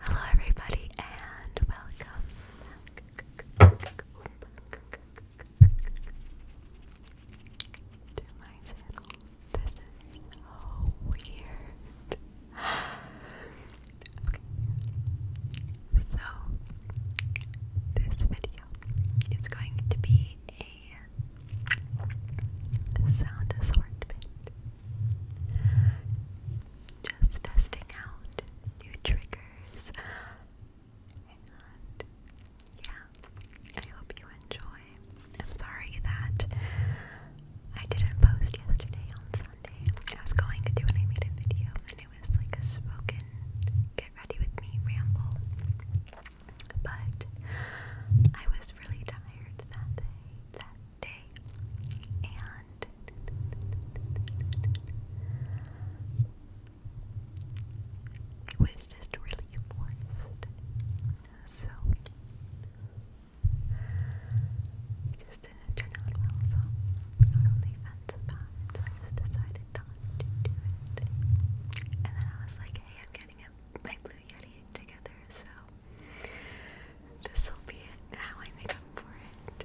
Hello, everybody, and welcome to my channel. This is so weird. Okay, so this video is going to be a sound assortment. Just testing out new triggers. yeah, I hope you enjoy. I'm sorry that I didn't post yesterday on Sunday. I was going to do when I made a video, and it was like a spoken get ready with me ramble. But I was really tired that day, day, and was just really forced. So it just didn't turn out well, so I was on so I just decided not to do it. And then I was like, hey, I'm getting a my together, so this will be how I make up for it.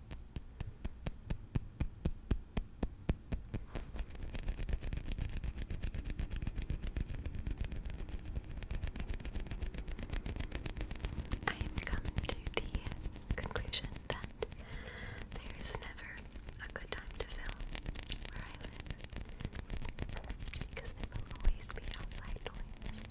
I have come to the conclusion that there is never a good time to film where I live because there will always be outside noise.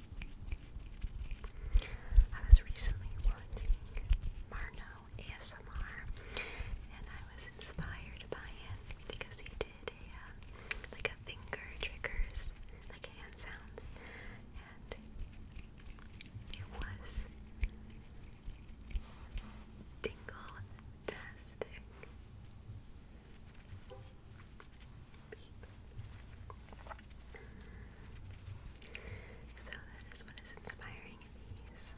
I was recently watching Marno ASMR and I was inspired by him because he did uh, like a finger triggers, like hand sounds, and it was dingle-tastic. So that is what is inspiring these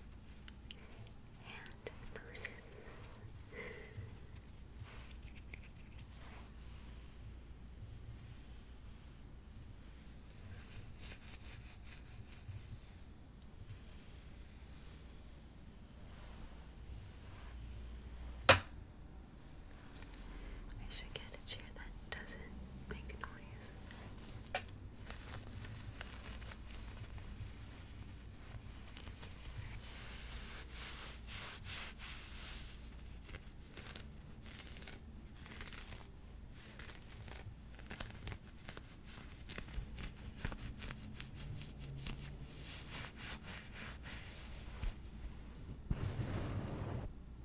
hand motions. I should get a chair that doesn't make noise.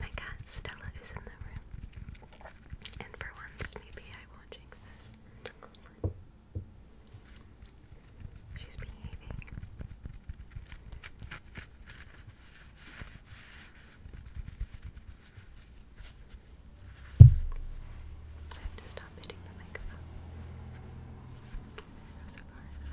My cat Stella is in the room, and for once, maybe I won't jinx this. She's behaving. I have to stop hitting the microphone. Go so far. Good.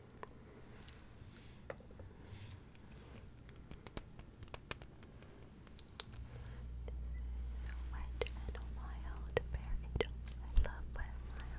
This is wet and wild berry I love wet wild.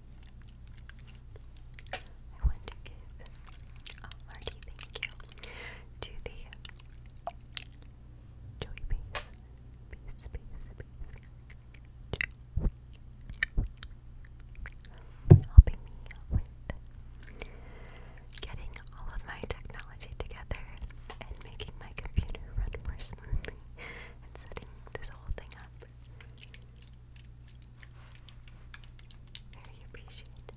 I want to give a hearty thank you to the Joey Base, Base, Base, helping me with getting all of my technology together and making my computer run more and setting this whole thing up. Very appreciated.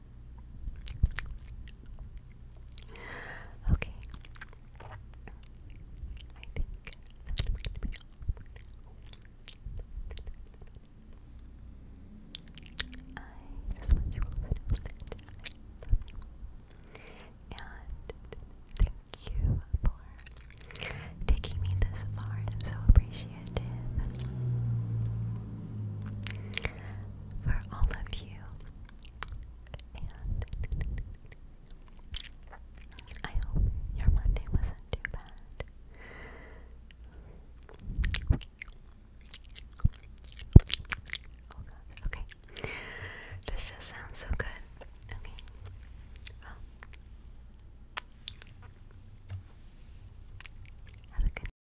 Okay. I think I just want you all to know And thank you for taking me this far. I'm so appreciative for all of you. And I hope your Monday wasn't too bad. Oh, okay. This just sounds so good. Okay. Have a good